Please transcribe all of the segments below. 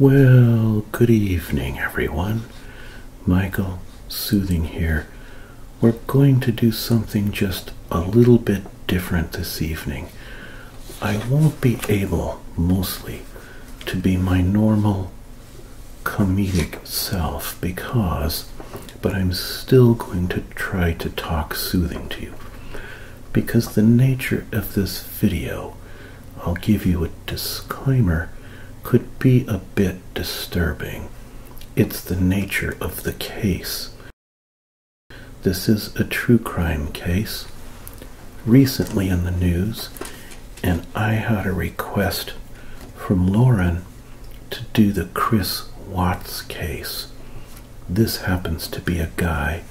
Well, good evening, everyone. Michael Soothing here. We're going to do something just a little bit different this evening. I won't be able, mostly, to be my normal comedic self because, but I'm still going to try to talk soothing to you. Because the nature of this video I'll give you a disclaimer, could be a bit disturbing. It's the nature of the case. This is a true crime case, recently in the news, and I had a request from Lauren to do the Chris Watts case. This happens to be a guy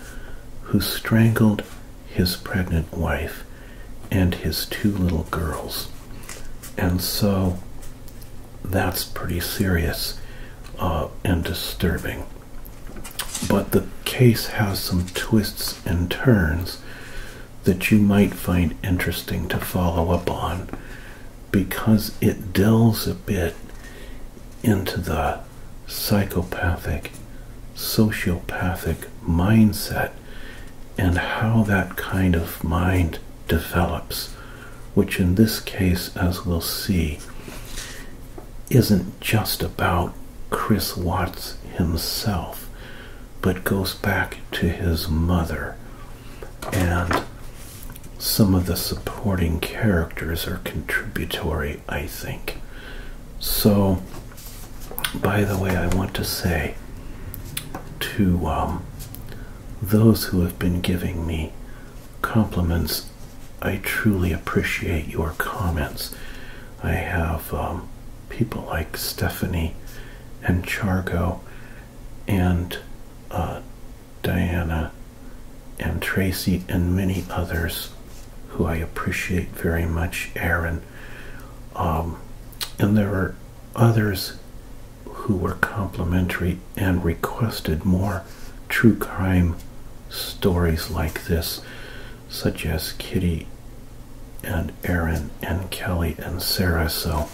who strangled his pregnant wife, and his two little girls. And so that's pretty serious uh, and disturbing. But the case has some twists and turns that you might find interesting to follow up on because it delves a bit into the psychopathic sociopathic mindset and how that kind of mind develops, which in this case, as we'll see, isn't just about Chris Watts himself, but goes back to his mother. And some of the supporting characters are contributory, I think. So, by the way, I want to say to um, those who have been giving me compliments, I truly appreciate your comments. I have um, people like Stephanie and Chargo and uh, Diana and Tracy and many others who I appreciate very much, Aaron um, and there were others who were complimentary and requested more true crime stories like this, such as Kitty and Aaron and Kelly and Sarah. So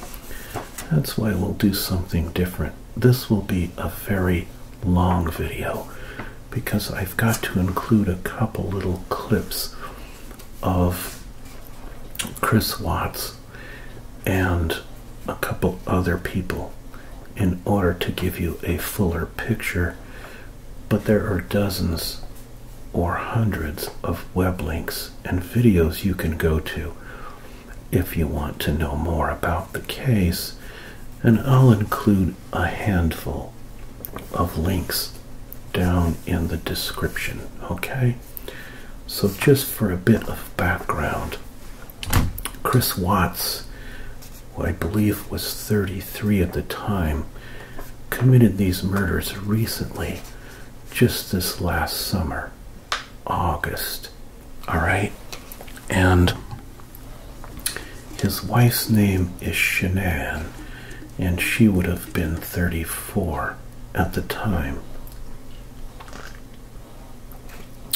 that's why we'll do something different. This will be a very long video because I've got to include a couple little clips of Chris Watts and a couple other people in order to give you a fuller picture, but there are dozens or hundreds of web links and videos you can go to if you want to know more about the case, and I'll include a handful of links down in the description. Okay, so just for a bit of background, Chris Watts, who I believe was 33 at the time, committed these murders recently, just this last summer, August. All right, and his wife's name is Shannon and she would have been 34 at the time.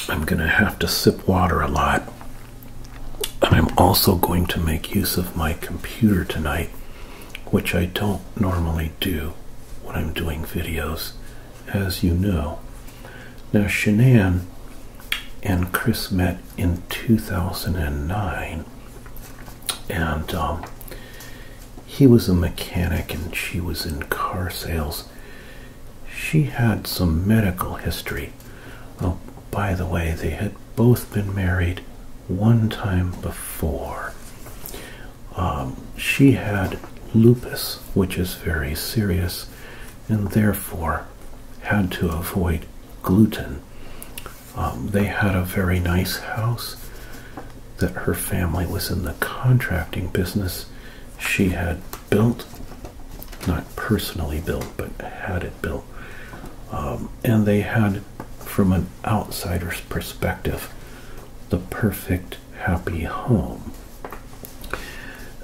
I'm going to have to sip water a lot. And I'm also going to make use of my computer tonight, which I don't normally do when I'm doing videos, as you know. Now, Shanann and Chris met in 2009 and um, he was a mechanic, and she was in car sales. She had some medical history. Oh, by the way, they had both been married one time before. Um, she had lupus, which is very serious, and therefore had to avoid gluten. Um, they had a very nice house that her family was in the contracting business. She had built, not personally built, but had it built. Um, and they had, from an outsider's perspective, the perfect happy home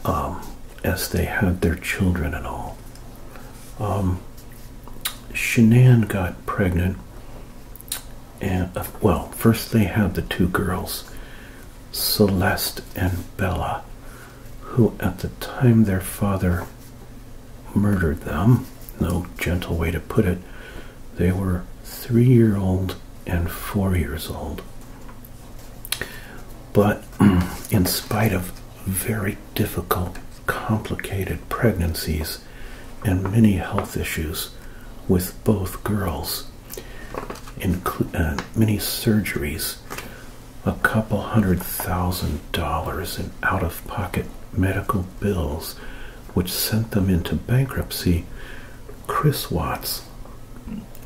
um, as they had their children and all um, got pregnant, and uh, well, first they had the two girls, Celeste and Bella, who at the time their father murdered them. No gentle way to put it. They were three year old and four years old. But in spite of very difficult, complicated pregnancies, and many health issues with both girls, including uh, many surgeries, a couple hundred thousand dollars in out of pocket medical bills, which sent them into bankruptcy. Chris Watts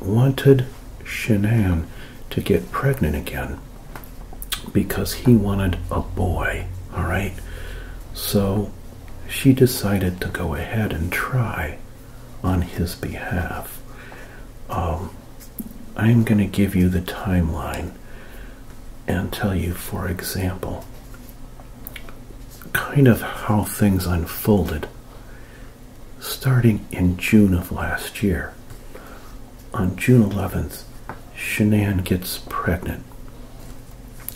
wanted Shanann to get pregnant again because he wanted a boy, all right? So she decided to go ahead and try on his behalf. Um, I'm going to give you the timeline and tell you, for example, kind of how things unfolded starting in June of last year. On June 11th, Shanann gets pregnant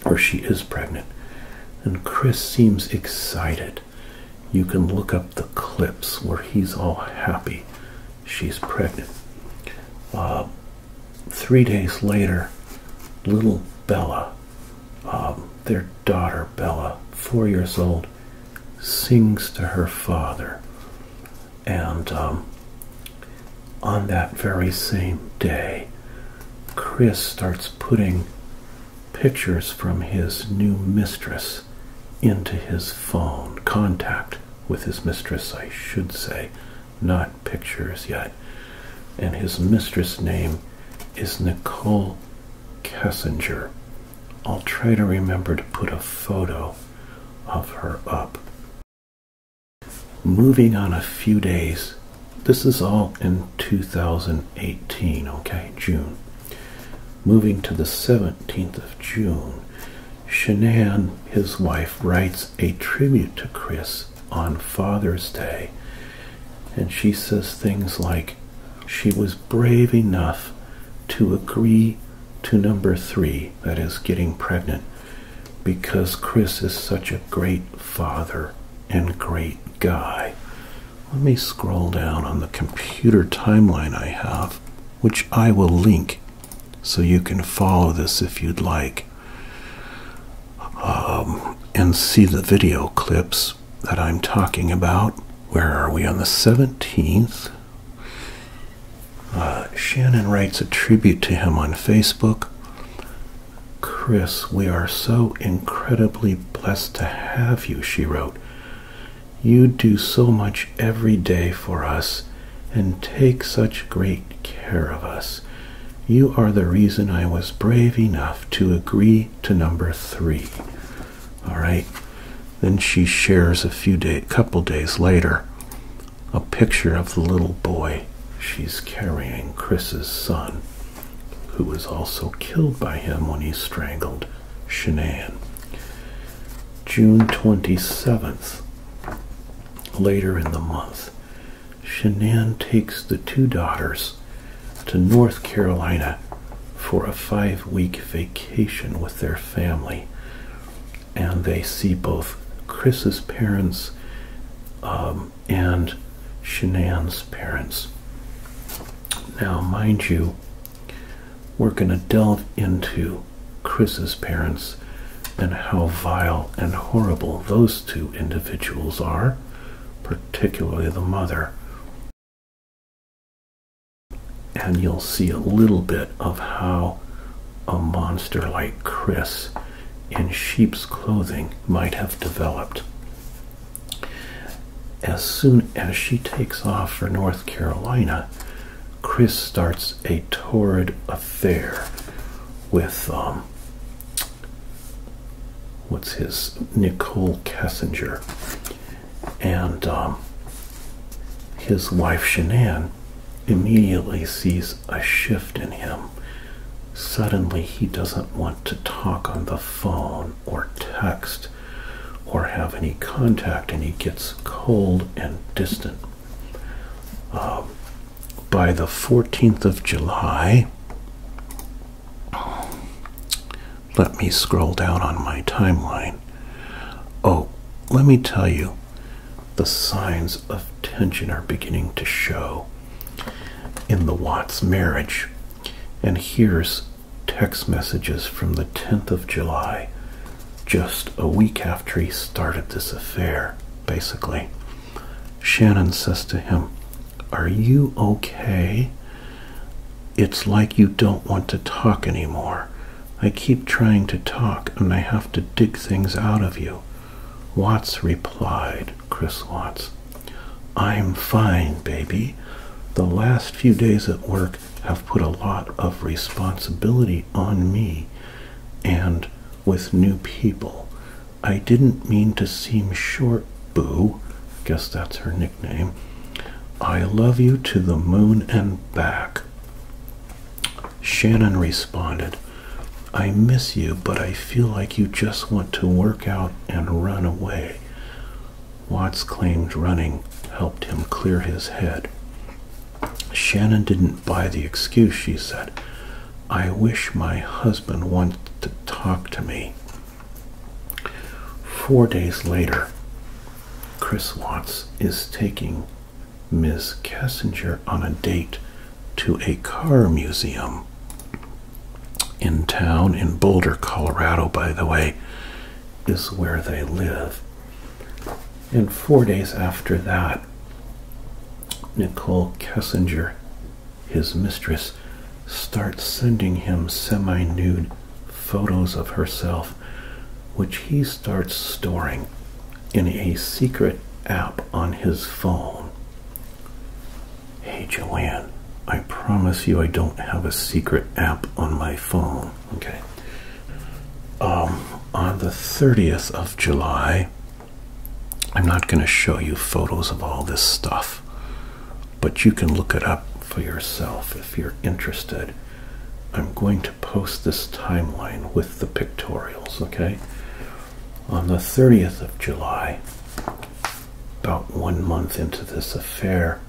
or she is pregnant, and Chris seems excited. You can look up the clips where he's all happy she's pregnant. Uh, three days later, little Bella, um, their daughter Bella, four years old, sings to her father. And um, on that very same day, Chris starts putting pictures from his new mistress into his phone, contact with his mistress, I should say, not pictures yet. And his mistress name is Nicole Kessinger. I'll try to remember to put a photo of her up Moving on a few days, this is all in 2018, okay, June. Moving to the 17th of June, Shanann, his wife, writes a tribute to Chris on Father's Day. And she says things like, she was brave enough to agree to number three, that is, getting pregnant, because Chris is such a great father and great guy. Let me scroll down on the computer timeline I have, which I will link so you can follow this if you'd like um, and see the video clips that I'm talking about. Where are we? On the 17th. Uh, Shannon writes a tribute to him on Facebook. Chris, we are so incredibly blessed to have you, she wrote. You do so much every day for us and take such great care of us. You are the reason I was brave enough to agree to number three. All right. Then she shares a few days, couple days later a picture of the little boy she's carrying, Chris's son, who was also killed by him when he strangled Shanann. June 27th, later in the month, Shanann takes the two daughters to North Carolina for a five week vacation with their family. And they see both Chris's parents um, and Shanann's parents. Now, mind you, we're going to delve into Chris's parents and how vile and horrible those two individuals are, particularly the mother. And you'll see a little bit of how a monster like Chris in sheep's clothing might have developed. As soon as she takes off for North Carolina, Chris starts a torrid affair with um, what's his Nicole Cassinger, and um, his wife Shanann immediately sees a shift in him Suddenly, he doesn't want to talk on the phone or text or have any contact, and he gets cold and distant. Um, by the 14th of July, let me scroll down on my timeline. Oh, let me tell you, the signs of tension are beginning to show in the Watts marriage. And here's text messages from the 10th of July, just a week after he started this affair, basically. Shannon says to him, Are you okay? It's like you don't want to talk anymore. I keep trying to talk and I have to dig things out of you. Watts replied, Chris Watts, I'm fine, baby. The last few days at work have put a lot of responsibility on me and with new people. I didn't mean to seem short, boo. Guess that's her nickname. I love you to the moon and back. Shannon responded, I miss you, but I feel like you just want to work out and run away. Watts claimed running helped him clear his head. Shannon didn't buy the excuse, she said. I wish my husband wanted to talk to me. Four days later, Chris Watts is taking Ms. Kessinger on a date to a car museum in town in Boulder, Colorado, by the way, is where they live. And four days after that, Nicole Kessinger, his mistress, starts sending him semi nude photos of herself, which he starts storing in a secret app on his phone. Hey Joanne, I promise you I don't have a secret app on my phone. Okay. Um, on the 30th of July, I'm not going to show you photos of all this stuff, but you can look it up for yourself if you're interested. I'm going to post this timeline with the pictorials, okay? on the 30th of July, about one month into this affair,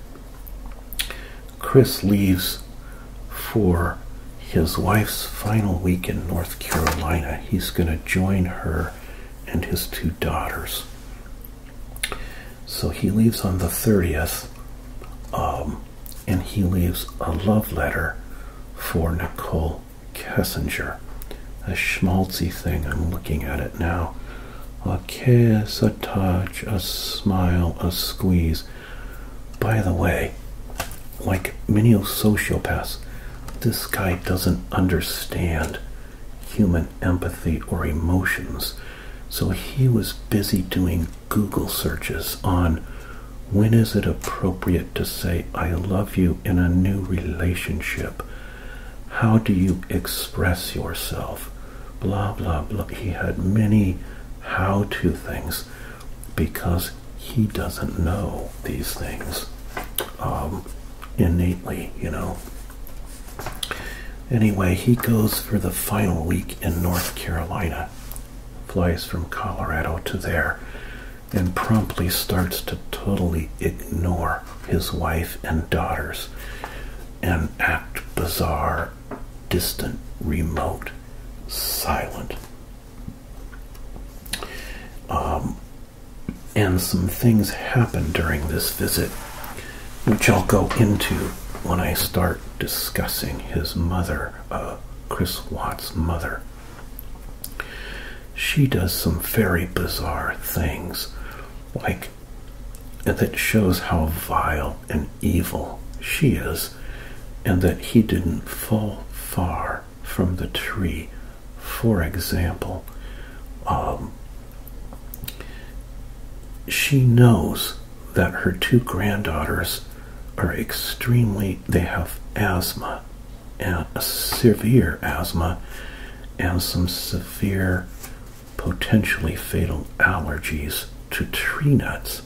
Chris leaves for his wife's final week in North Carolina. He's going to join her and his two daughters. So he leaves on the 30th, um, and he leaves a love letter for Nicole Paul Kessinger. A schmaltzy thing, I'm looking at it now. A kiss, a touch, a smile, a squeeze. By the way, like many sociopaths, this guy doesn't understand human empathy or emotions. So he was busy doing Google searches on when is it appropriate to say I love you in a new relationship? How do you express yourself? Blah, blah, blah. He had many how to things because he doesn't know these things um, innately, you know. Anyway, he goes for the final week in North Carolina, flies from Colorado to there, and promptly starts to totally ignore his wife and daughters and act bizarre, distant, remote, silent. Um, and some things happen during this visit, which I'll go into when I start discussing his mother, uh, Chris Watt's mother she does some very bizarre things, like that shows how vile and evil she is, and that he didn't fall far from the tree. For example, um, she knows that her two granddaughters are extremely, they have asthma uh, severe asthma and some severe, potentially fatal allergies to tree nuts.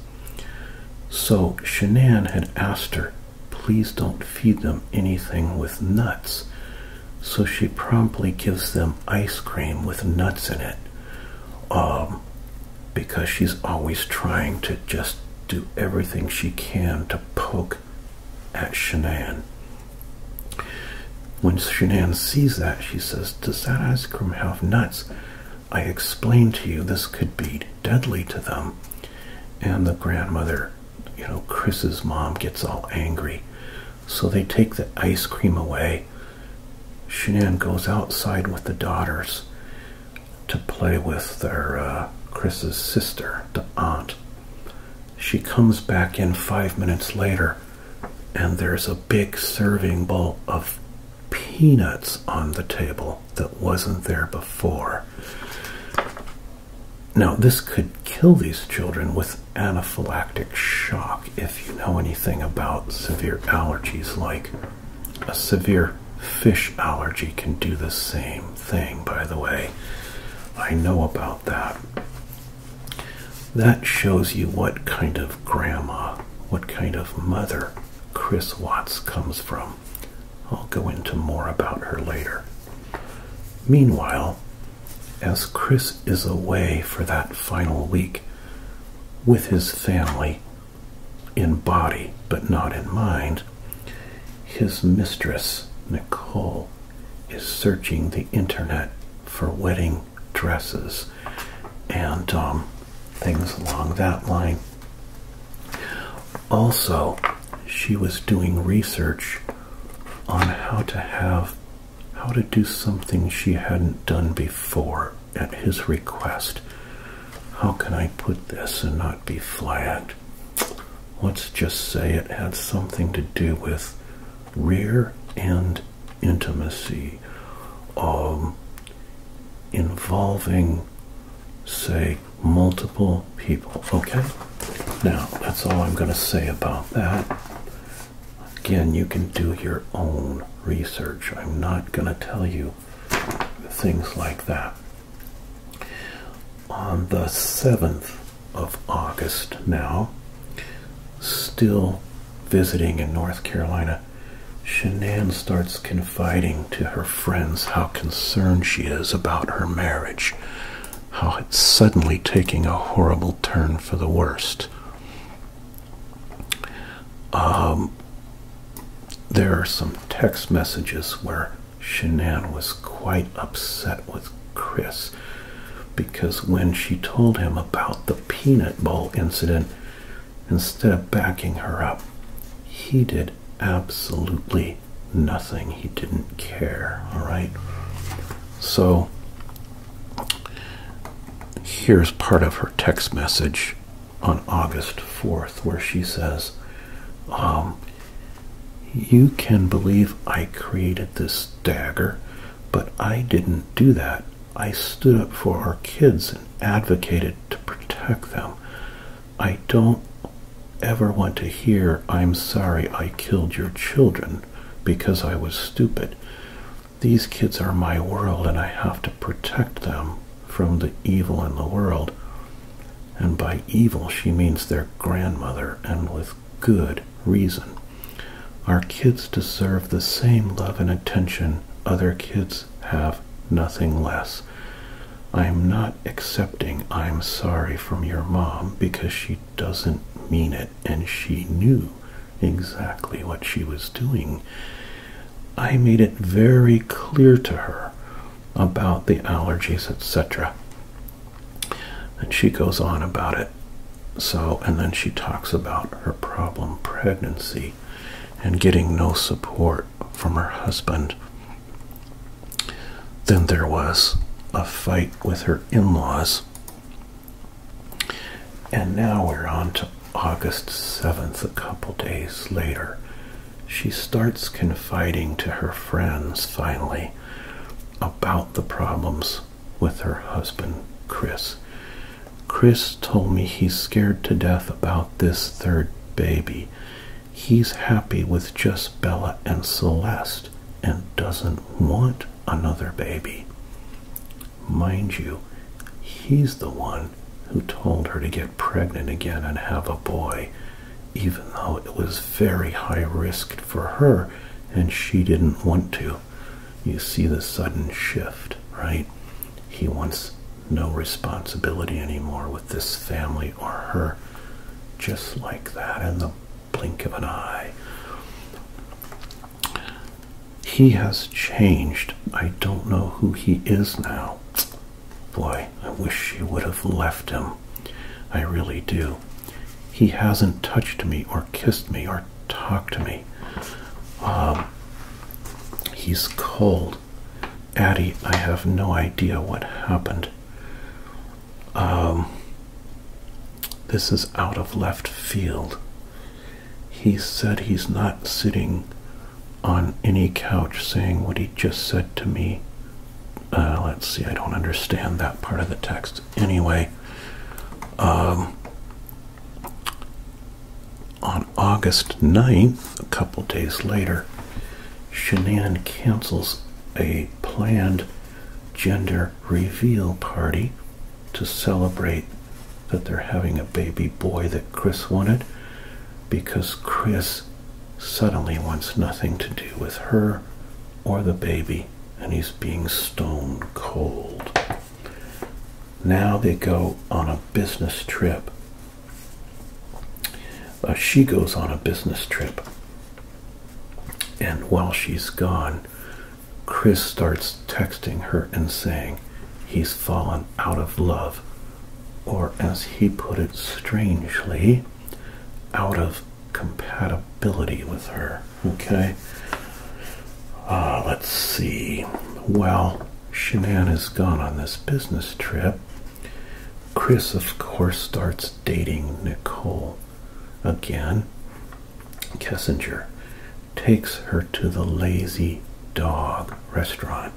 So Shanann had asked her, please don't feed them anything with nuts. So she promptly gives them ice cream with nuts in it. Um, because she's always trying to just do everything she can to poke at Shanann. When Shanann sees that, she says, Does that ice cream have nuts? I explained to you this could be deadly to them. And the grandmother, you know, Chris's mom gets all angry. So they take the ice cream away. Shanann goes outside with the daughters to play with their uh, Chris's sister, the aunt she comes back in five minutes later, and there's a big serving bowl of peanuts on the table that wasn't there before. Now, this could kill these children with anaphylactic shock if you know anything about severe allergies, like a severe fish allergy can do the same thing, by the way. I know about that. That shows you what kind of grandma, what kind of mother Chris Watts comes from. I'll go into more about her later. Meanwhile, as Chris is away for that final week with his family, in body but not in mind, his mistress, Nicole, is searching the internet for wedding dresses and um, things along that line. Also, she was doing research on how to have how to do something she hadn't done before at his request. How can I put this and not be flat? let's just say it had something to do with rear end intimacy um, involving, say, multiple people. Okay? Now, that's all I'm going to say about that. Again, you can do your own research. I'm not going to tell you things like that. On the 7th of August now. Still visiting in North Carolina, Shanann starts confiding to her friends how concerned she is about her marriage, how it's suddenly taking a horrible turn for the worst. Um, there are some text messages where Shanann was quite upset with Chris because when she told him about the peanut ball incident, instead of backing her up, he did absolutely nothing. He didn't care, all right? So here's part of her text message on August 4th where she says, um, You can believe I created this dagger, but I didn't do that. I stood up for our kids and advocated to protect them. I don't ever want to hear, I'm sorry I killed your children because I was stupid. These kids are my world and I have to protect them from the evil in the world. And by evil, she means their grandmother, and good reason. Our kids deserve the same love and attention other kids have, nothing less. I am not accepting I'm sorry from your mom because she doesn't mean it and she knew exactly what she was doing. I made it very clear to her about the allergies, etc. And she goes on about it. So, and then she talks about her problem pregnancy and getting no support from her husband. Then there was a fight with her in laws. And now we're on to August 7th, a couple days later. She starts confiding to her friends finally about the problems with her husband, Chris. Chris told me he's scared to death about this third baby. He's happy with just Bella and Celeste and doesn't want another baby. Mind you, he's the one who told her to get pregnant again and have a boy, even though it was very high risk for her and she didn't want to you see the sudden shift right he wants no responsibility anymore with this family or her just like that in the blink of an eye he has changed i don't know who he is now boy i wish she would have left him i really do he hasn't touched me or kissed me or talk to me. Um, he's cold. Addie, I have no idea what happened. Um, this is out of left field. He said he's not sitting on any couch saying what he just said to me. Uh, let's see, I don't understand that part of the text anyway. Um, on August 9th, a couple days later, Shanann cancels a planned gender reveal party to celebrate that they're having a baby boy that Chris wanted because Chris suddenly wants nothing to do with her or the baby and he's being stone cold. Now they go on a business trip. Uh, she goes on a business trip. And while she's gone, Chris starts texting her and saying he's fallen out of love, or as he put it strangely, out of compatibility with her. Okay. Uh, let's see. Well, Shanann is gone on this business trip. Chris, of course, starts dating Nicole again. Kessinger takes her to the Lazy Dog restaurant.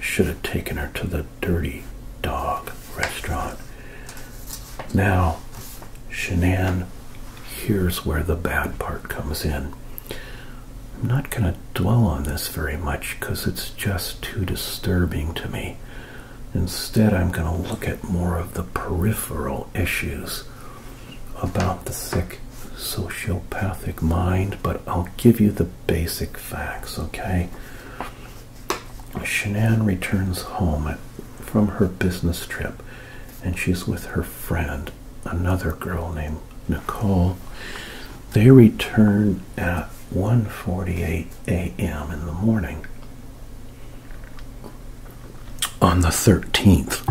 Should have taken her to the Dirty Dog restaurant. Now, Shanann here's where the bad part comes in. I'm not going to dwell on this very much because it's just too disturbing to me. Instead, I'm going to look at more of the peripheral issues about the sick sociopathic mind, but I'll give you the basic facts, okay? Shanann returns home from her business trip, and she's with her friend, another girl named Nicole. They return at 1:48 a.m. in the morning on the 13th.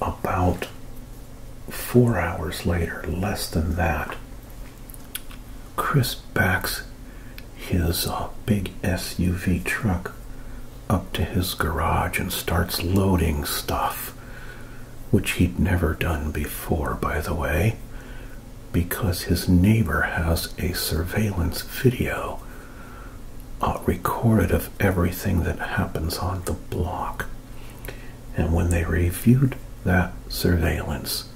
About four hours later, less than that, Chris backs his big SUV truck up to his garage and starts loading stuff, which he'd never done before, by the way, because his neighbor has a surveillance video recorded of everything that happens on the block. And when they reviewed that surveillance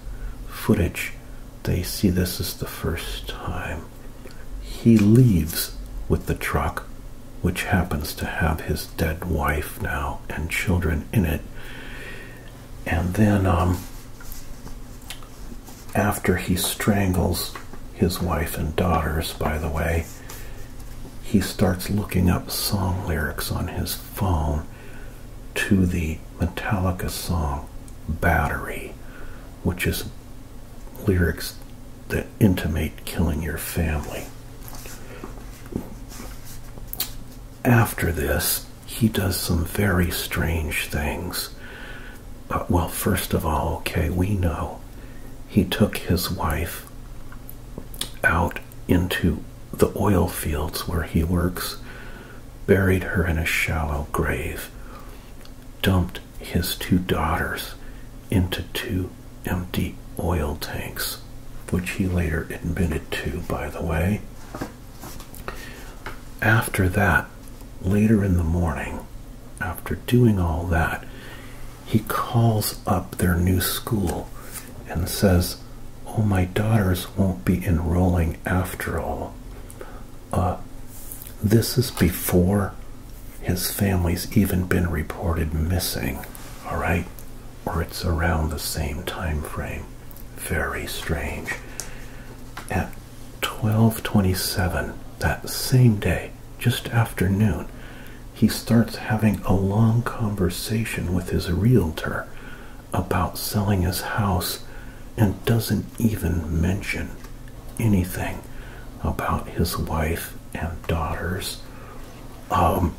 footage, they see this is the first time he leaves with the truck, which happens to have his dead wife now and children in it. And then, um, after he strangles his wife and daughters, by the way, he starts looking up song lyrics on his phone to the Metallica song Battery, which is lyrics that intimate killing your family. After this, he does some very strange things. well, first of all, okay, we know he took his wife out into the oil fields where he works, buried her in a shallow grave, dumped his two daughters into two empty oil tanks, which he later admitted to, by the way. After that, later in the morning, after doing all that, he calls up their new school and says, Oh, my daughters won't be enrolling after all uh, this is before his family's even been reported missing, all right? Or it's around the same time frame. Very strange. At 12:27 that same day, just after noon, he starts having a long conversation with his realtor about selling his house and doesn't even mention anything about his wife and daughters um,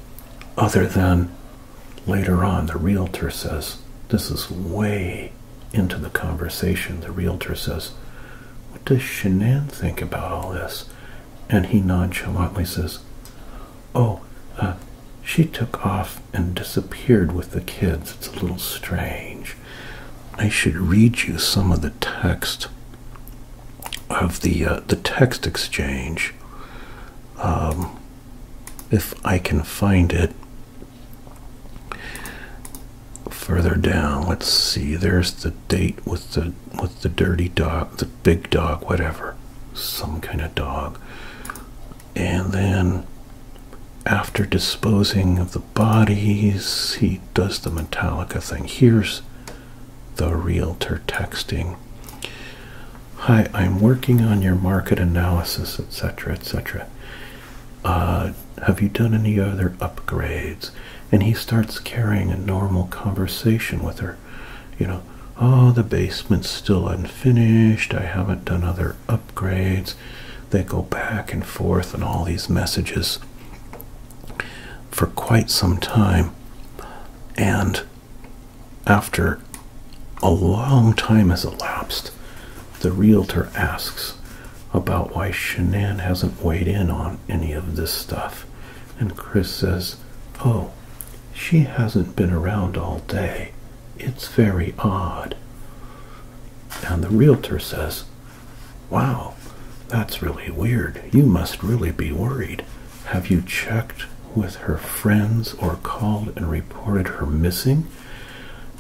other than later on the realtor says this is way into the conversation the realtor says what does shanann think about all this and he nonchalantly says oh uh, she took off and disappeared with the kids it's a little strange I should read you some of the text of the uh, the text exchange, um, if I can find it. Further down, let's see. There's the date with the with the dirty dog, the big dog, whatever, some kind of dog, and then after disposing of the the bodies. He does the Metallica thing. Here's the realtor texting. Hi, I'm working on your market analysis, etc., etc. Uh, have you done any other upgrades? And he starts carrying a normal conversation with her. You know, oh, the basement's still unfinished. I haven't done other upgrades. They go back and forth and all these messages for quite some time. And after a long time has elapsed, the realtor asks about why Shanann hasn't weighed in on any of this stuff. And Chris says, Oh, she hasn't been around all day. It's very odd. And the realtor says, Wow, that's really weird. You must really be worried. Have you checked with her friends or called and reported her missing?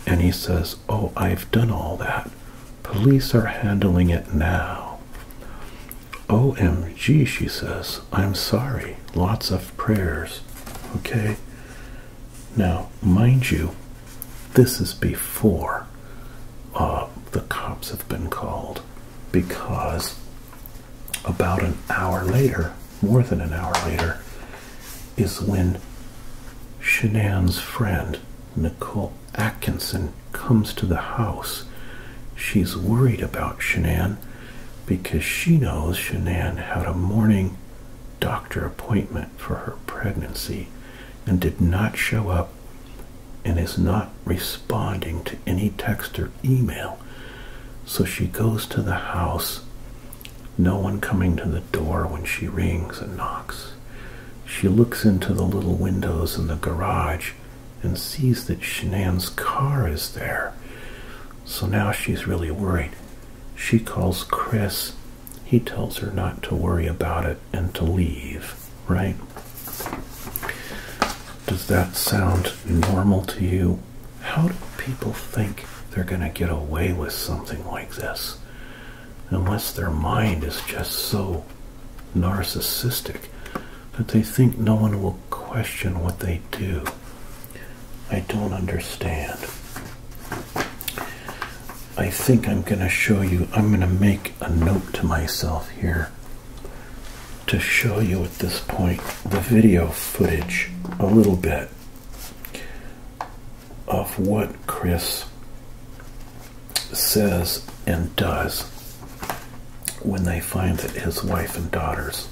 And he says, Oh, I've done all that. Police are handling it now. OMG, she says, I'm sorry. Lots of prayers. Okay. Now, mind you, this is before uh, the cops have been called because about an hour later, more than an hour later, is when Shanann's friend, Nicole Atkinson, comes to the house. She's worried about Shanann because she knows Shanann had a morning doctor appointment for her pregnancy and did not show up and is not responding to any text or email. So she goes to the house, no one coming to the door when she rings and knocks. She looks into the little windows in the garage and sees that Shanann's car is there. So now she's really worried. She calls Chris he tells her not to worry about it and to leave, right? Does that sound normal to you? How do people think they're going to get away with something like this? Unless their mind is just so narcissistic that they think no one will question what they do. I don't understand. I think I'm going to show you. I'm going to make a note to myself here to show you at this point the video footage a little bit of what Chris says and does when they find that his wife and daughters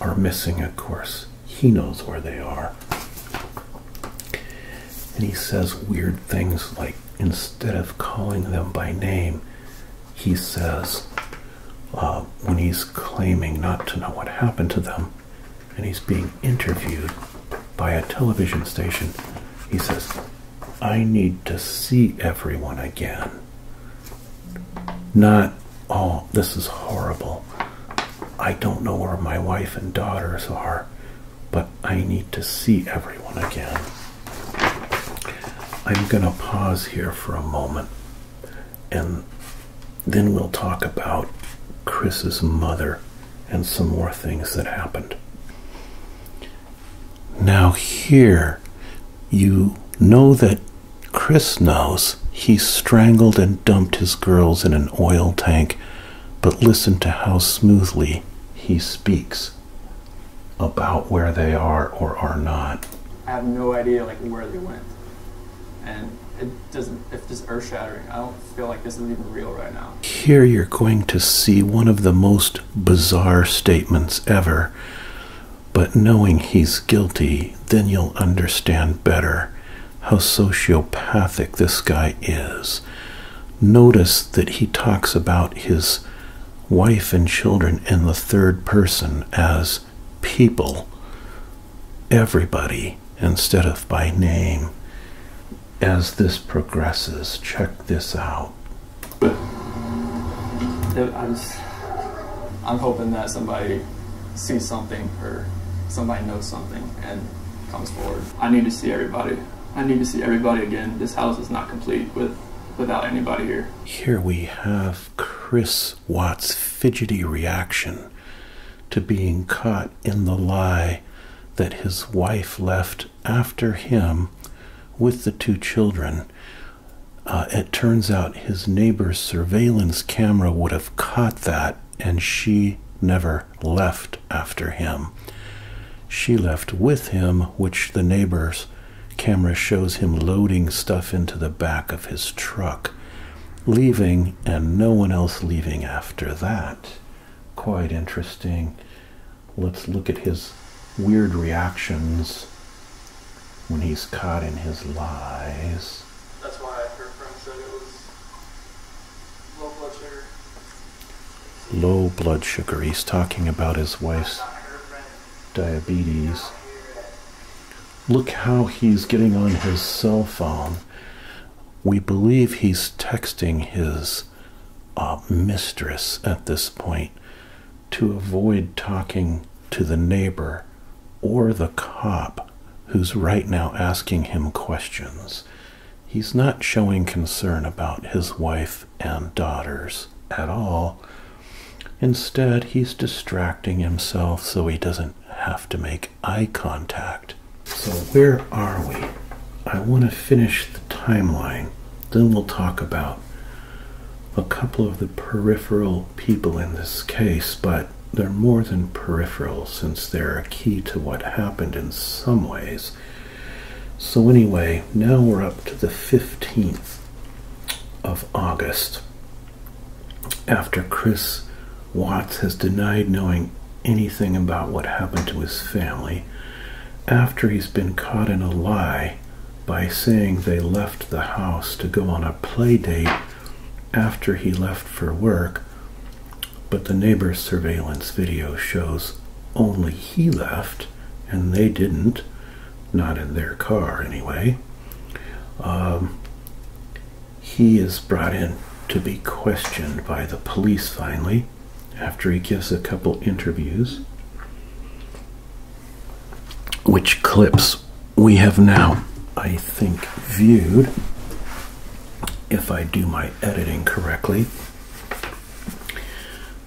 are missing, of course. He knows where they are and he says weird things like instead of calling them by name, he says uh, when he's claiming not to know what happened to them and he's being interviewed by a television station, he says, I need to see everyone again. Not, all. this is horrible. I don't know where my wife and daughters are but I need to see everyone again. I'm going to pause here for a moment and then we'll talk about Chris's mother and some more things that happened. Now, here you know that Chris knows he strangled and dumped his girls in an oil tank, but listen to how smoothly he speaks about where they are or are not. I have no idea like where they went, and it doesn't. It's just earth shattering. I don't feel like this is even real right now. Here you're going to see one of the most bizarre statements ever. But knowing he's guilty, then you'll understand better how sociopathic this guy is notice that he talks about his wife and children in the third person as people, everybody, instead of by name. As this progresses, check this out. I'm, I'm hoping that somebody sees something or somebody knows something and comes forward. I need to see everybody I need to see everybody again. This house is not complete with without anybody here. Here we have Chris Watt's fidgety reaction to being caught in the lie that his wife left after him with the two children. Uh, it turns out his neighbor's surveillance camera would have caught that, and she never left after him. She left with him, which the neighbor's camera shows him loading stuff into the back of his truck, leaving, and no one else leaving after that. Quite interesting. Let's look at his weird reactions when he's caught in his lies. That's why her friend said it was low blood sugar low blood sugar. He's talking about his wife's diabetes. Look how he's getting on his cell phone. We believe he's texting his uh, mistress at this point to avoid talking to the neighbor or the cop who's right now asking him questions. He's not showing concern about his wife and daughters at all. Instead, he's distracting himself so he doesn't have to make eye contact. So, where are we? I want to finish the timeline, then we'll talk about a couple of the peripheral people in this case, but they're more than peripheral since they're a key to what happened in some ways. So, anyway, now we're up to the 15th of August. After Chris Watts has denied knowing anything about what happened to his family, after he's been caught in a lie by saying they left the house to go on a play date after he left for work, but the neighbor's surveillance video shows only he left and they didn't. Not in their car, anyway. Um, he is brought in to be questioned by the police finally after he gives a couple interviews, which clips we have now, I think, viewed, if I do my editing correctly.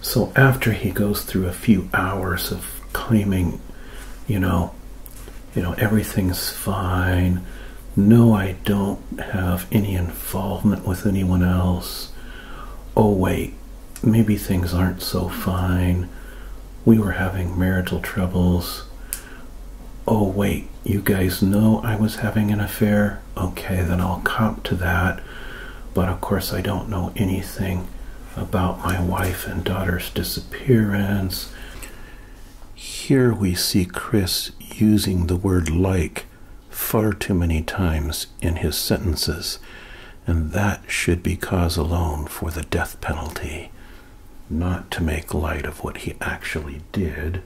So after he goes through a few hours of claiming, you know, you know, everything's fine. No, I don't have any involvement with anyone else. Oh, wait, maybe things aren't so fine. We were having marital troubles. Oh, wait, you guys know I was having an affair? Okay, then I'll cop to that. But of course, I don't know anything about my wife and daughter's disappearance. Here we see Chris using the word like far too many times in his sentences, and that should be cause alone for the death penalty, not to make light of what he actually did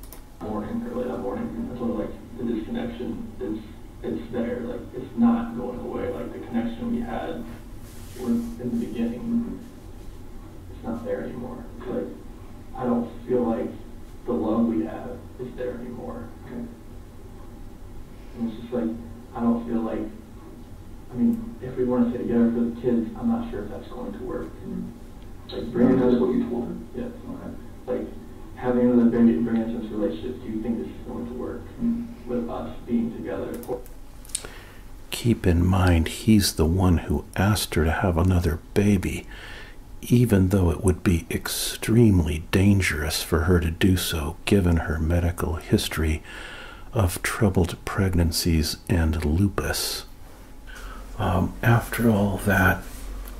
it's there. Like it's not going away. Like the connection we had in the beginning, it's not there anymore. It's like I don't feel like the love we have is there anymore. And it's just like I don't feel like. I mean, if we want to stay together for the kids, I'm not sure if that's going to work. Mm-hmm. Like bringing us what you told him. Yeah like having an abandoned branches relationship, do you think this is going to work with us being together? Keep in mind, he's the one who asked her to have another baby, even though it would be extremely dangerous for her to do so given her medical history of troubled pregnancies and lupus. Um, after all that,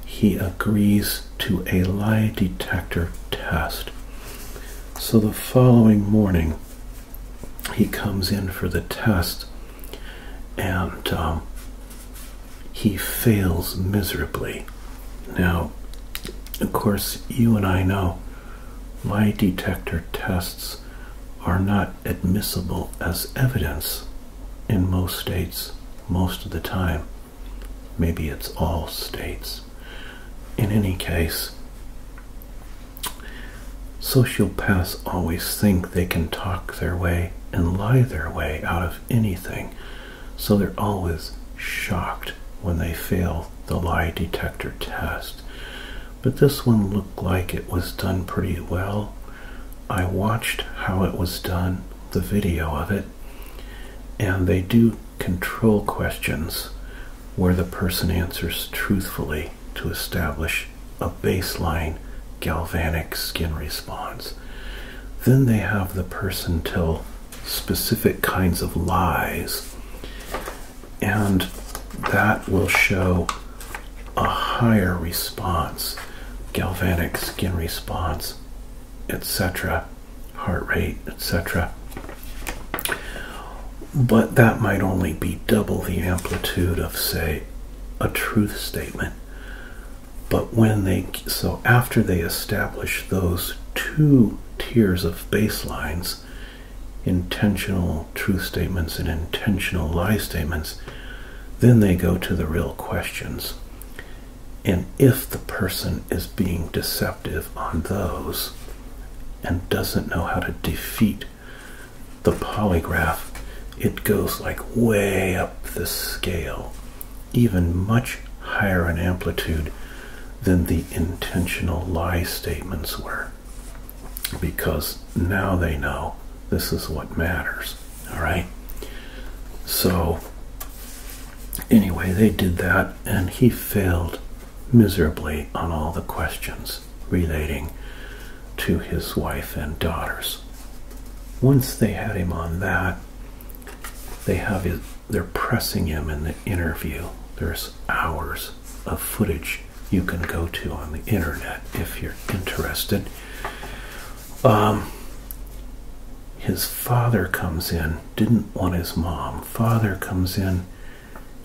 he agrees to a lie detector test. So the following morning, he comes in for the test and um, he fails miserably. Now, of course, you and I know lie detector tests are not admissible as evidence in most states most of the time. Maybe it's all states. In any case, sociopaths always think they can talk their way and lie their way out of anything, so they're always shocked when they fail the lie detector test. But this one looked like it was done pretty well. I watched how it was done, the video of it, and they do control questions where the person answers truthfully to establish a baseline galvanic skin response. Then they have the person tell specific kinds of lies, and that will show a higher response, galvanic skin response etc., heart rate, etc. But that might only be double the amplitude of, say, a truth statement. But when they, so after they establish those two tiers of baselines, intentional truth statements and intentional lie statements, then they go to the real questions. And if the person is being deceptive on those and doesn't know how to defeat the polygraph, it goes like way up the scale, even much higher in amplitude than the intentional lie statements were. Because now they know this is what matters. All right? So Anyway, they did that, and he failed miserably on all the questions relating to his wife and daughters. Once they had him on that, they have they're pressing him in the interview. There's hours of footage you can go to on the internet if you're interested. Um, his father comes in didn't want his mom. Father comes in.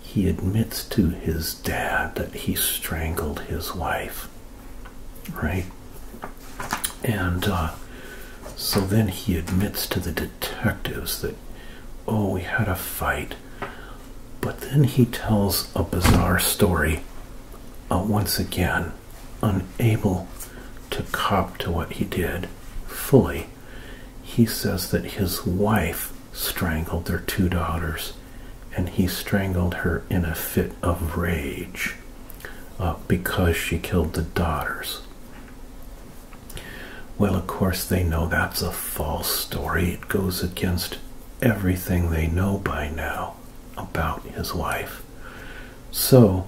He admits to his dad that he strangled his wife. Right? And uh, so then he admits to the detectives that, oh, we had a fight. But then he tells a bizarre story uh, once again, unable to cop to what he did fully he says that his wife strangled their two daughters and he strangled her in a fit of rage uh, because she killed the daughters. Well, of course, they know that's a false story. It goes against everything they know by now about his wife. So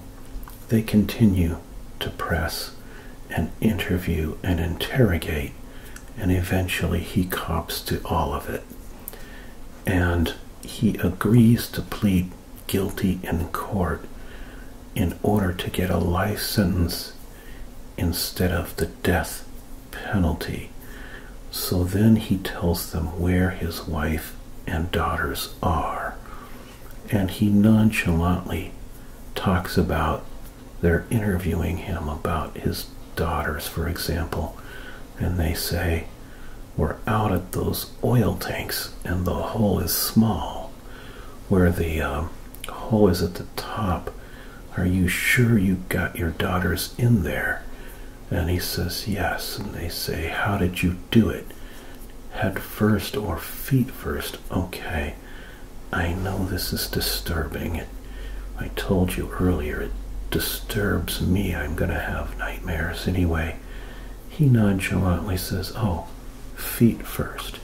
they continue to press and interview and interrogate, and eventually he cops to all of it. And he agrees to plead guilty in court in order to get a life sentence instead of the death penalty. So then he tells them where his wife and daughters are and he nonchalantly talks about they're interviewing him about his daughters, for example, and they say, We're out at those oil tanks, and the hole is small. Where the um, hole is at the top, are you sure you got your daughters in there? And he says, Yes. And they say, How did you do it? Head first or feet first? Okay. I know this is disturbing. I told you earlier it disturbs me. I'm going to have nightmares anyway. He nonchalantly says, Oh, feet first.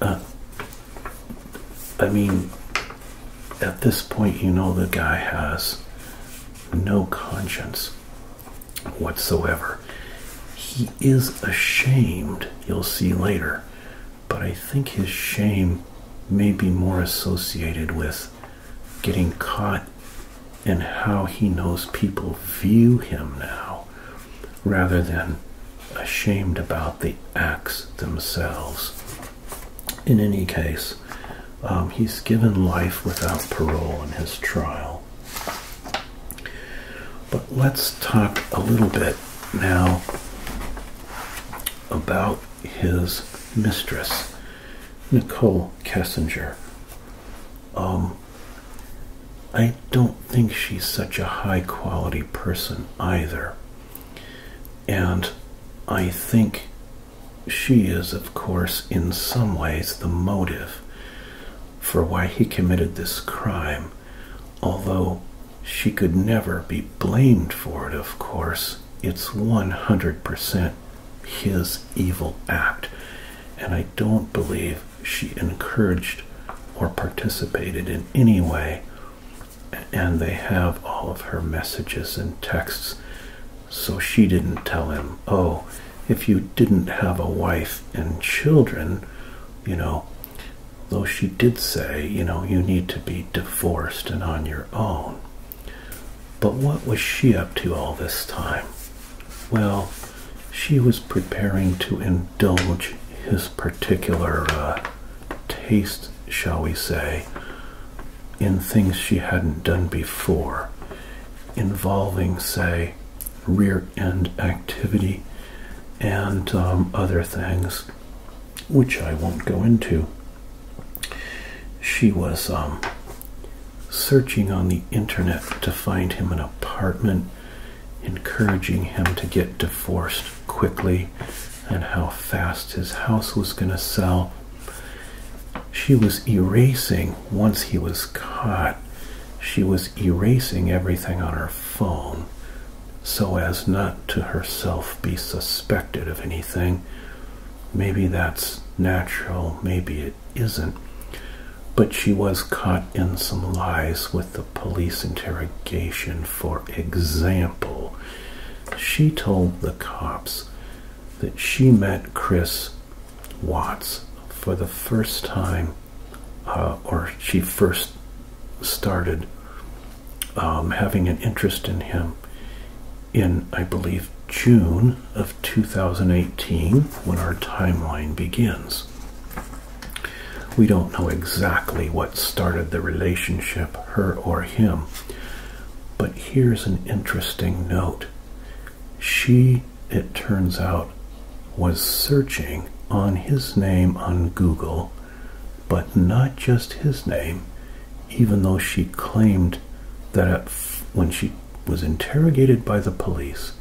Uh, I mean, at this point, you know the guy has no conscience whatsoever is ashamed, you'll see later, but I think his shame may be more associated with getting caught and how he knows people view him now rather than ashamed about the acts themselves. In any case, um, he's given life without parole in his trial. But let's talk a little bit now about his mistress, Nicole Kessinger. Um, I don't think she's such a high quality person either. And I think she is, of course, in some ways the motive for why he committed this crime. Although she could never be blamed for it, of course, it's 100% his evil act. And I don't believe she encouraged or participated in any way. And they have all of her messages and texts. So she didn't tell him, oh, if you didn't have a wife and children, you know, though she did say, you know, you need to be divorced and on your own. But what was she up to all this time? Well, she was preparing to indulge his particular uh, taste, shall we say, in things she hadn't done before, involving, say, rear and activity and um, other things which I won't go into. She was um, searching on the internet to find him an apartment, encouraging him to get divorced quickly and how fast his house was going to sell. She was erasing, once he was caught, she was erasing everything on her phone so as not to herself be suspected of anything. Maybe that's natural, maybe it isn't. But she was caught in some lies with the police interrogation. For example, she told the cops that she met Chris Watts for the first time uh, or she first started um, having an interest in him in, I believe, June of 2018 when our timeline begins. We don't know exactly what started the relationship, her or him, but here's an interesting note. She, it turns out, was searching on his name on Google but not just his name, even though she claimed that when she was interrogated by the police,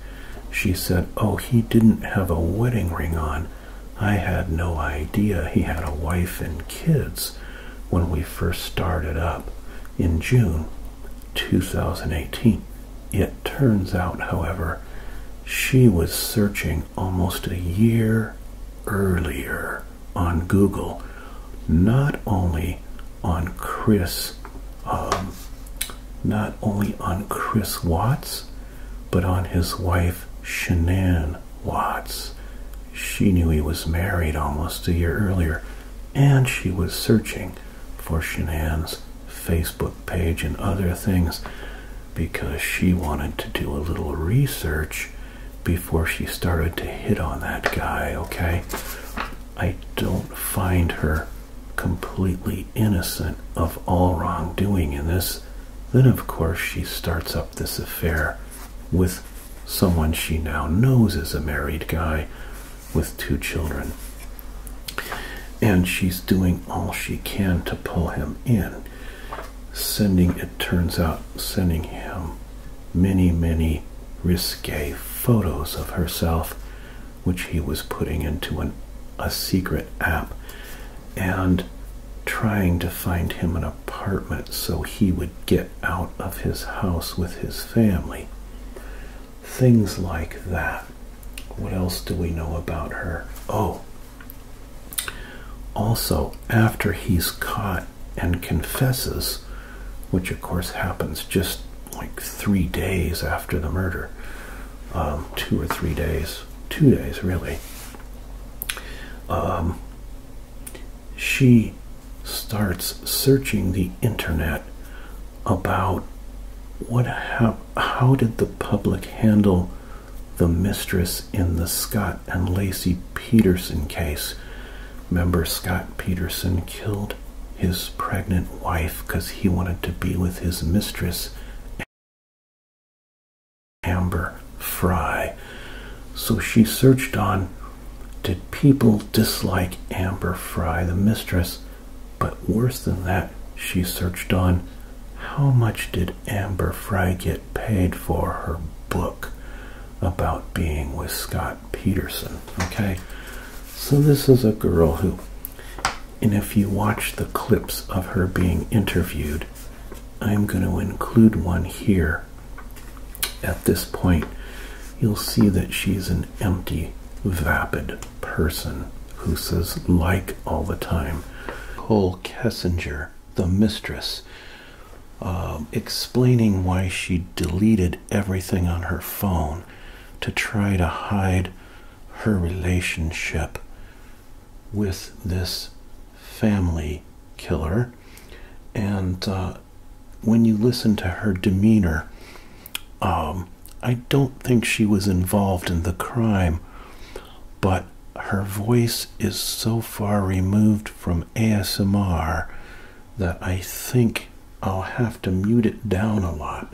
she said, Oh, he didn't have a wedding ring on. I had no idea he had a wife and kids when we first started up in June 2018. It turns out, however, she was searching almost a year earlier on Google, not only on Chris, um, not only on Chris Watts, but on his wife Shanann Watts. She knew he was married almost a year earlier, and she was searching for Shanann's Facebook. Facebook page and other things because she wanted to do a little research before she started to hit on that guy, okay? I don't find her completely innocent of all wrongdoing in this. Then, of course, she starts up this affair with someone she now knows is a married guy with two children. And she's doing all she can to pull him in sending, it turns out, sending him many, many risque photos of herself, which he was putting into an, a secret app and trying to find him an apartment so he would get out of his house with his family. Things like that. What else do we know about her? Oh, also, after he's caught and confesses, which of course happens just like three days after the murder, um, two or three days, two days really, um, she starts searching the internet about what how did the public handle the mistress in the Scott and Lacey Peterson case. Member Scott Peterson killed his pregnant wife because he wanted to be with his mistress, Amber Fry. So she searched on did people dislike Amber Fry, the mistress? But worse than that, she searched on how much did Amber Fry get paid for her book about being with Scott Peterson? Okay, so this is a girl who, and if you watch the clips of her being interviewed, I'm going to include one here. At this point, you'll see that she's an empty, vapid person who says like all the time. Cole Kessinger the mistress, um, explaining why she deleted everything on her phone to try to hide her relationship with this family killer. And uh, when you listen to her demeanor, um, I don't think she was involved in the crime, but her voice is so far removed from ASMR that I think I'll have to mute it down a lot,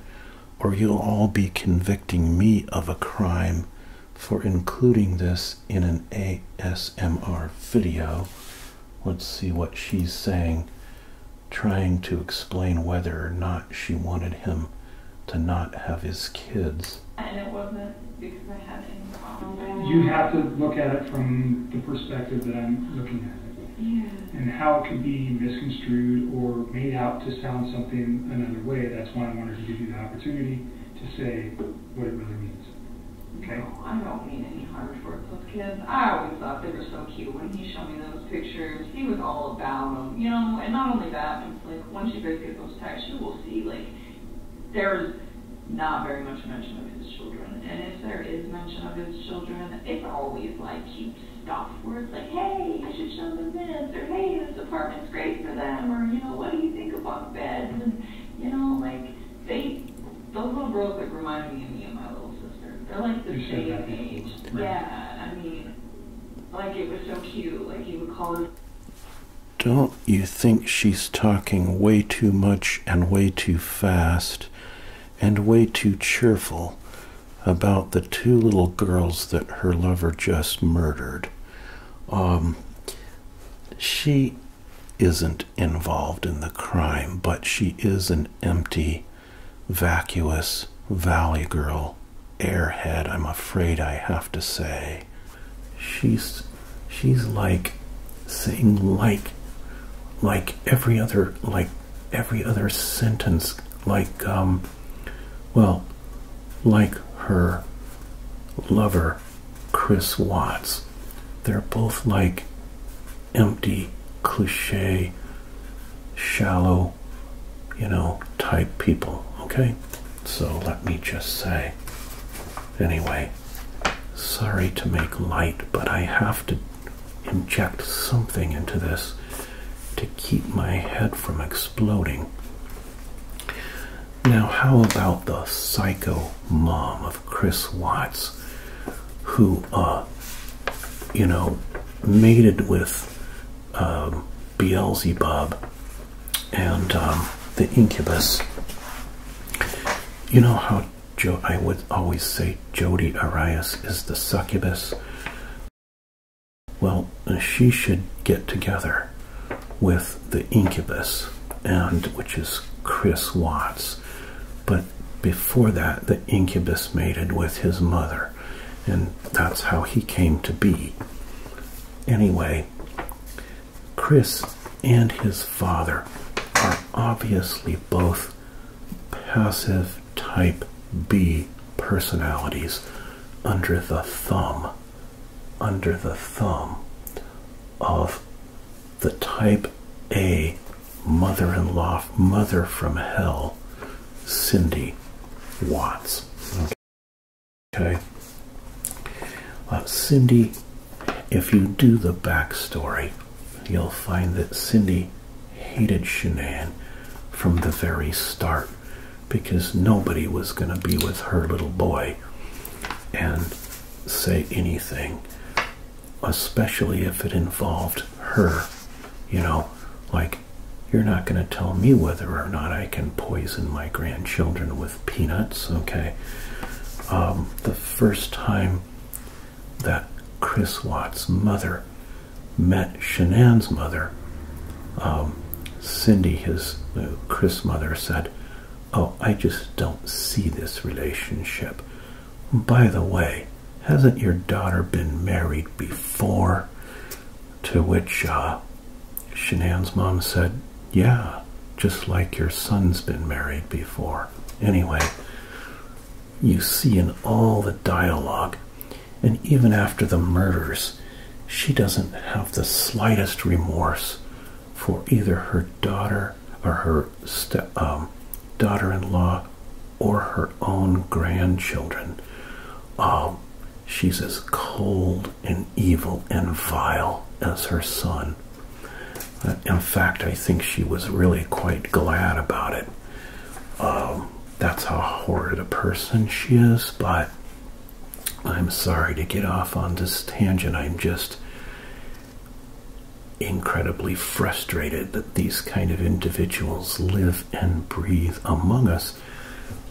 or you'll all be convicting me of a crime for including this in an ASMR video. Let's see what she's saying, trying to explain whether or not she wanted him to not have his kids. And it wasn't because I had any You have to look at it from the perspective that I'm looking at it. And how it could be misconstrued or made out to sound something another way. That's why I wanted to give you the opportunity to say what it really means. Okay? No, I don't mean any harm towards those kids. I always thought they were so cute when he showed me those pictures. He was all about them, you know. And not only that, it's like once you guys through those texts, you will see like there's not very much mention of his children. And if there is mention of his children, it's always like cute stuff where it's like, hey, I should show them this, or hey, this apartment's great for them, or you know, what do you think about beds? And you know, like they, those little girls that remind me of me and my little sister, they're like the same age. Yeah, I mean, like it was so cute. Like he would call his don't you think she's talking way too much and way too fast and way too cheerful about the two little girls that her lover just murdered? Um, she isn't involved in the crime, but she is an empty, vacuous valley girl airhead, I'm afraid I have to say. She's she's like saying like like every other like every other sentence like um well like her lover Chris Watts. They're both like empty cliche shallow you know type people okay so let me just say Anyway, sorry to make light, but I have to inject something into this to keep my head from exploding. Now, how about the psycho mom of Chris Watts, who, uh, you know, mated with um, Beelzebub and um, the incubus. You know how jo I would always say Jodi Arias is the succubus. Well, uh, she should get together with the incubus, and which is Chris Watts. But before that, the incubus mated with his mother, and that's how he came to be. Anyway, Chris and his father are obviously both passive type B personalities under the thumb under the thumb of the type A mother-in-law mother from hell Cindy Watts Okay. Cindy, if you do the backstory, you'll find that Cindy hated Shanann from the very start because nobody was going to be with her little boy and say anything, especially if it involved her. You know, like, you're not going to tell me whether or not I can poison my grandchildren with peanuts. Okay, um, the first time that Chris Watt's mother met Shanann's mother, um, Cindy, his uh, Chris' mother, said, "Oh, I just don't see this relationship." By the way, hasn't your daughter been married before? To which uh, Shanann's mom said, Yeah, just like your son's been married before. Anyway, you see in all the dialogue, and even after the murders, she doesn't have the slightest remorse for either her daughter or her um, daughter-in-law or her own grandchildren. Um, she's as cold and evil and vile as her son. Uh, in fact, I think she was really quite glad about it. Um, that's how horrid a person she is, but I'm sorry to get off on this tangent. I'm just incredibly frustrated that these kind of individuals live and breathe among us.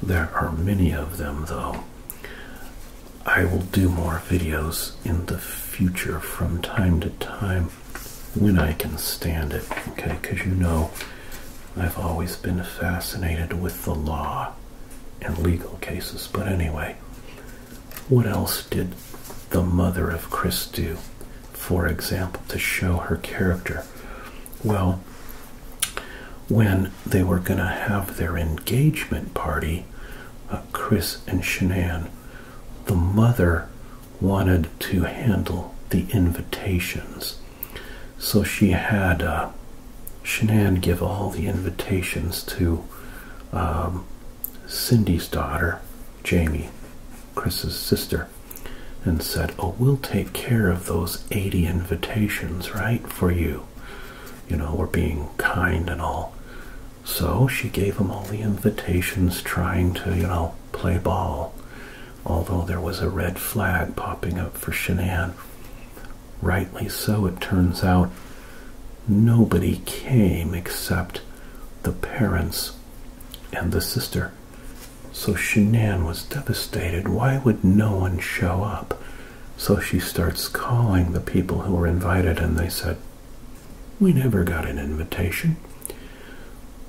There are many of them, though. I will do more videos in the future from time to time when I can stand it, okay? Because you know, I've always been fascinated with the law and legal cases. But anyway, what else did the mother of Chris do, for example, to show her character? Well, when they were going to have their engagement party, uh, Chris and Shanann. The mother wanted to handle the invitations. So she had uh, give all the invitations to um, Cindy's daughter, Jamie, Chris's sister, and said, Oh, we'll take care of those 80 invitations, right, for you you know, were being kind and all. So she gave him all the invitations, trying to, you know, play ball. Although there was a red flag popping up for Shanann. Rightly so, it turns out. Nobody came except the parents and the sister. So Shanann was devastated. Why would no one show up? So she starts calling the people who were invited, and they said, We never got an invitation.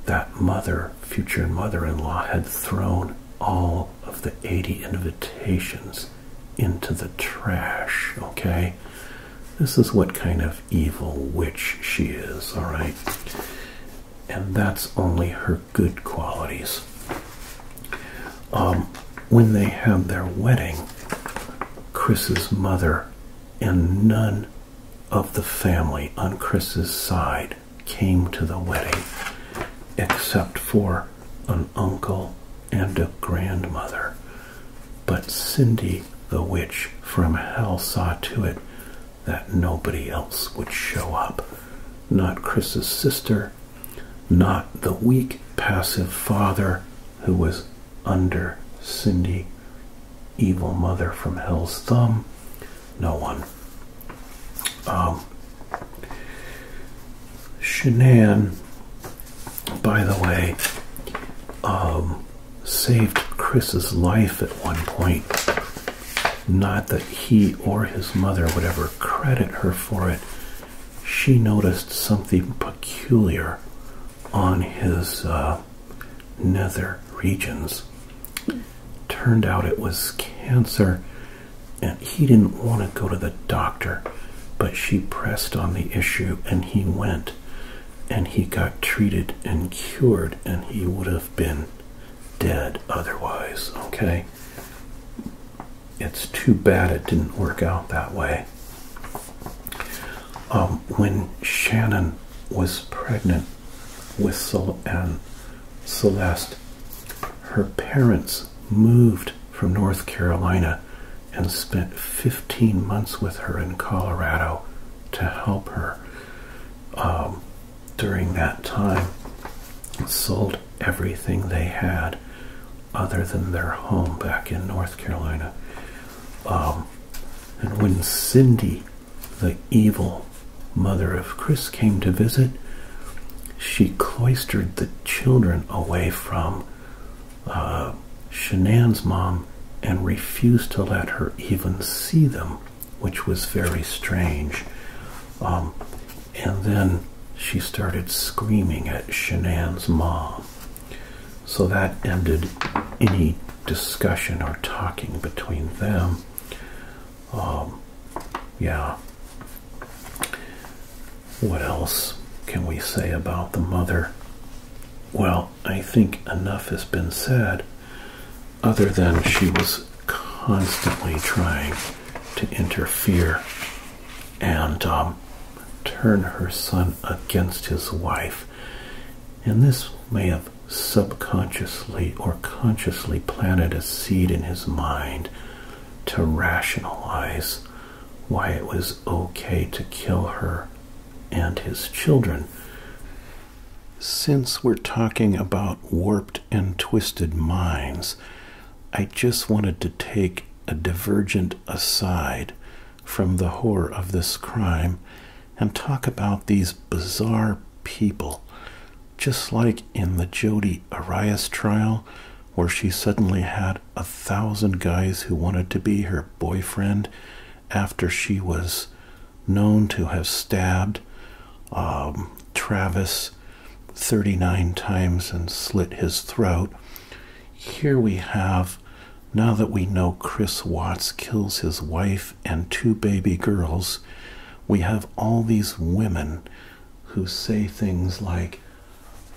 That mother, future mother in law, had thrown all of the 80 invitations into the trash, okay? This is what kind of evil witch she is, all right? And that's only her good qualities. Um, when they had their wedding, Chris's mother and none of the family on Chris's side came to the wedding except for an uncle and a grandmother. But Cindy the witch from hell saw to it that nobody else would show up. Not Chris's sister, not the weak, passive father who was under Cindy, evil mother from Hell's Thumb. No one. Um, by the way, um, saved Chris's life at one point. Not that he or his mother would ever credit her for it, she noticed something peculiar on his uh, nether regions. Turned out it was cancer, and he didn't want to go to the doctor, but she pressed on the issue, and he went and he got treated and cured, and he would have been dead otherwise. Okay, it's too bad it didn't work out that way. Um, when Shannon was pregnant with Sol and Celeste, her parents moved from North Carolina and spent 15 months with her in Colorado to help her. Um, during that time, sold everything they had other than their home back in North Carolina. Um, and when Cindy, the evil mother of Chris, came to visit, she cloistered the children away from uh, Shanann's mom and refused to let her even see them, which was very strange. Um, and then she started screaming at Shanann's mom so that ended any discussion or talking between them. Um, yeah. What else can we say about the mother? Well, I think enough has been said, other than she was constantly trying to interfere and um, turn her son against his wife. And this may have subconsciously or consciously planted a seed in his mind to rationalize why it was okay to kill her and his children. Since we're talking about warped and twisted minds, I just wanted to take a divergent aside from the horror of this crime and talk about these bizarre people, just like in the Jodie Arias trial, where she suddenly had a thousand guys who wanted to be her boyfriend after she was known to have stabbed um, Travis 39 times and slit his throat. Here we have, now that we know Chris Watts kills his wife and two baby girls, we have all these women who say things like,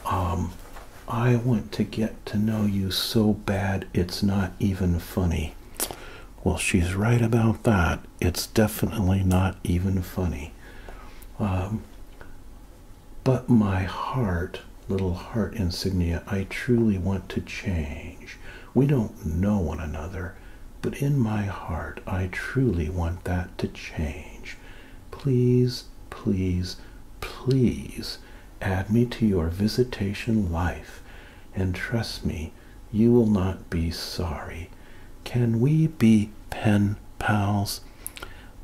um, I want to get to know you so bad it's not even funny. Well, she's right about that. It's definitely not even funny. Um, but my heart, little heart insignia, I truly want to change. We don't know one another, but in my heart, I truly want that to change. Please, please, please add me to your visitation life, and trust me, you will not be sorry. Can we be pen pals?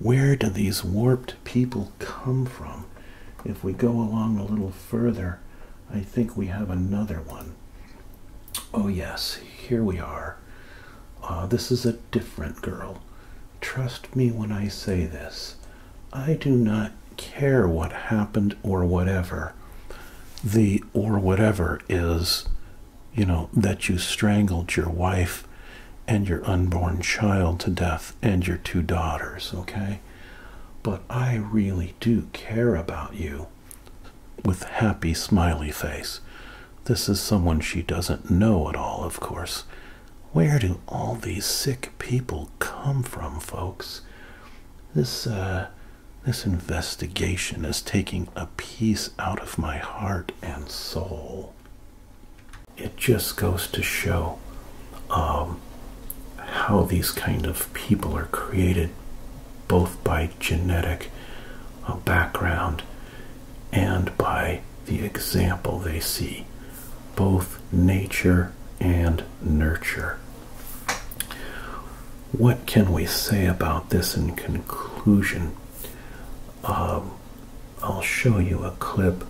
Where do these warped people come from? If we go along a little further, I think we have another one. Oh, yes, here we are. Uh, this is a different girl. Trust me when I say this. I do not care what happened or whatever. The or whatever is, you know, that you strangled your wife and your unborn child to death and your two daughters, okay? But I really do care about you with happy smiley face. This is someone she doesn't know at all, of course. Where do all these sick people come from, folks? This, uh, this investigation is taking a piece out of my heart and soul it just goes to show um, how these kind of people are created both by genetic uh, background and by the example they see, both nature and nurture. What can we say about this in conclusion? Um, I'll show you a clip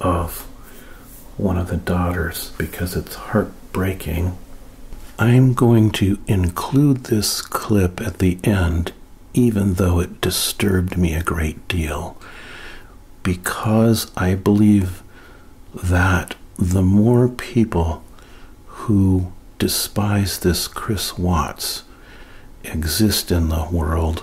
of one of the daughters because it's heartbreaking. I'm going to include this clip at the end, even though it disturbed me a great deal, because I believe that the more people who despise this Chris Watts exist in the world,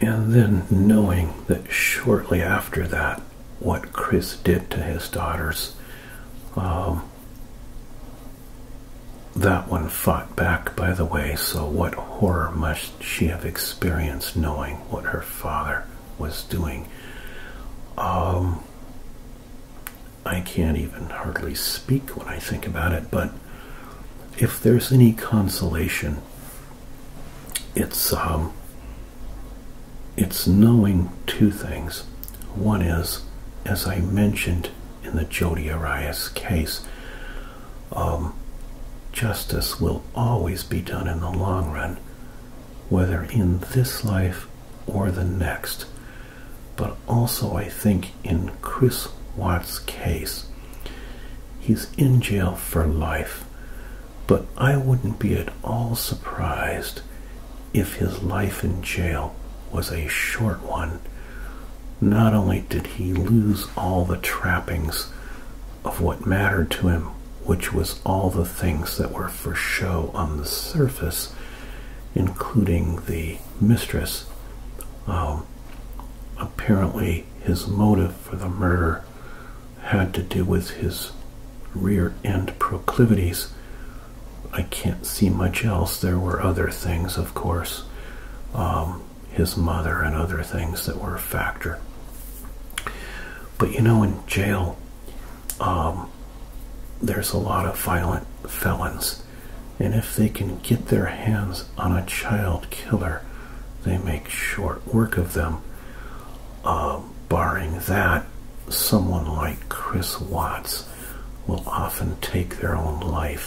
And then knowing that shortly after that, what Chris did to his daughters, um, that one fought back, by the way. So, what horror must she have experienced knowing what her father was doing? Um, I can't even hardly speak when I think about it, but if there's any consolation, it's um, it's knowing two things. One is, as I mentioned in the Jodi Arias case, um, justice will always be done in the long run, whether in this life or the next. But also, I think in Chris Watt's case, he's in jail for life. But I wouldn't be at all surprised if his life in jail was a short one not only did he lose all the trappings of what mattered to him, which was all the things that were for show on the surface, including the mistress. Um, apparently, his motive for the murder had to do with his rear end proclivities. I can't see much else. There were other things, of course. Um, his mother and other things that were a factor. But you know, in jail, um, there's a lot of violent felons, and if they can get their hands on a child killer, they make short work of them. Uh, barring that, someone like Chris Watts will often take their own life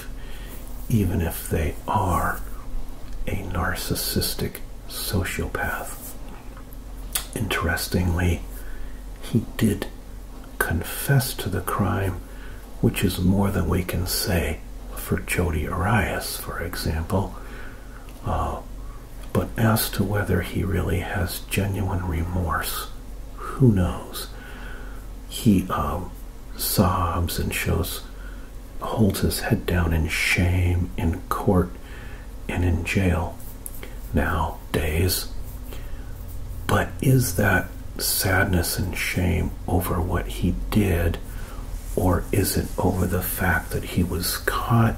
even if they are a narcissistic sociopath. Interestingly, he did confess to the crime, which is more than we can say for Jody Arias, for example. Uh, but as to whether he really has genuine remorse, who knows? He um, sobs and shows holds his head down in shame in court and in jail nowadays. But is that sadness and shame over what he did, or is it over the fact that he was caught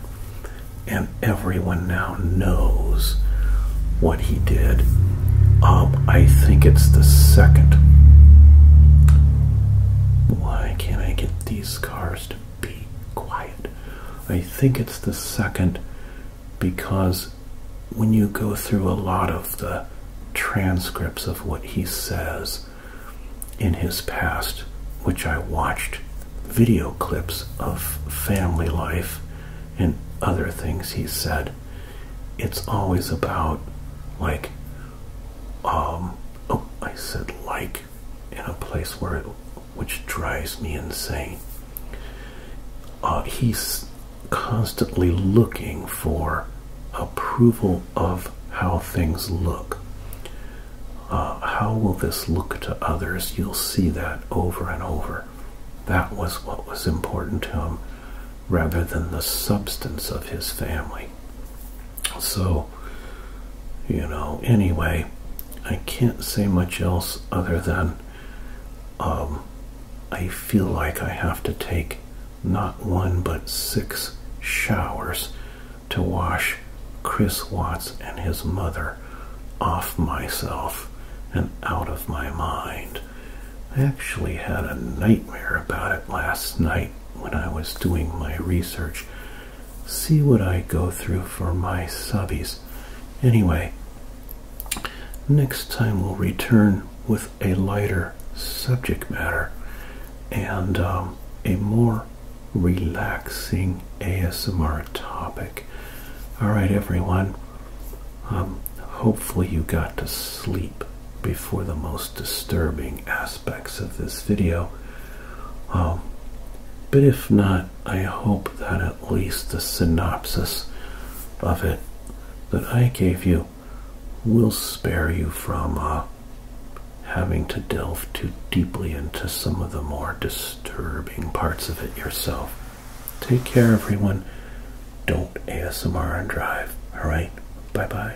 and everyone now knows what he did? Um, I think it's the second. Why can't I get these cars to be quiet? I think it's the second because when you go through a lot of the transcripts of what he says in his past, which I watched video clips of family life and other things he said, it's always about like um, oh I said like in a place where it which drives me insane uh, he's constantly looking for approval of how things look uh, how will this look to others you'll see that over and over that was what was important to him rather than the substance of his family so, you know, anyway, I can't say much else other than um, I feel like I have to take not one but six showers to wash Chris Watts and his mother off myself and out of my mind. I actually had a nightmare about it last night when I was doing my research. See what I go through for my subbies. Anyway, next time we'll return with a lighter subject matter and um, a more relaxing ASMR topic. All right, everyone. Um, hopefully, you got to sleep before the most disturbing aspects of this video. Um, but if not, I hope that at least the synopsis of it that I gave you will spare you from uh, having to delve too deeply into some of the more disturbing parts of it yourself. Take care, everyone. Don't ASMR and drive. All right. Bye bye.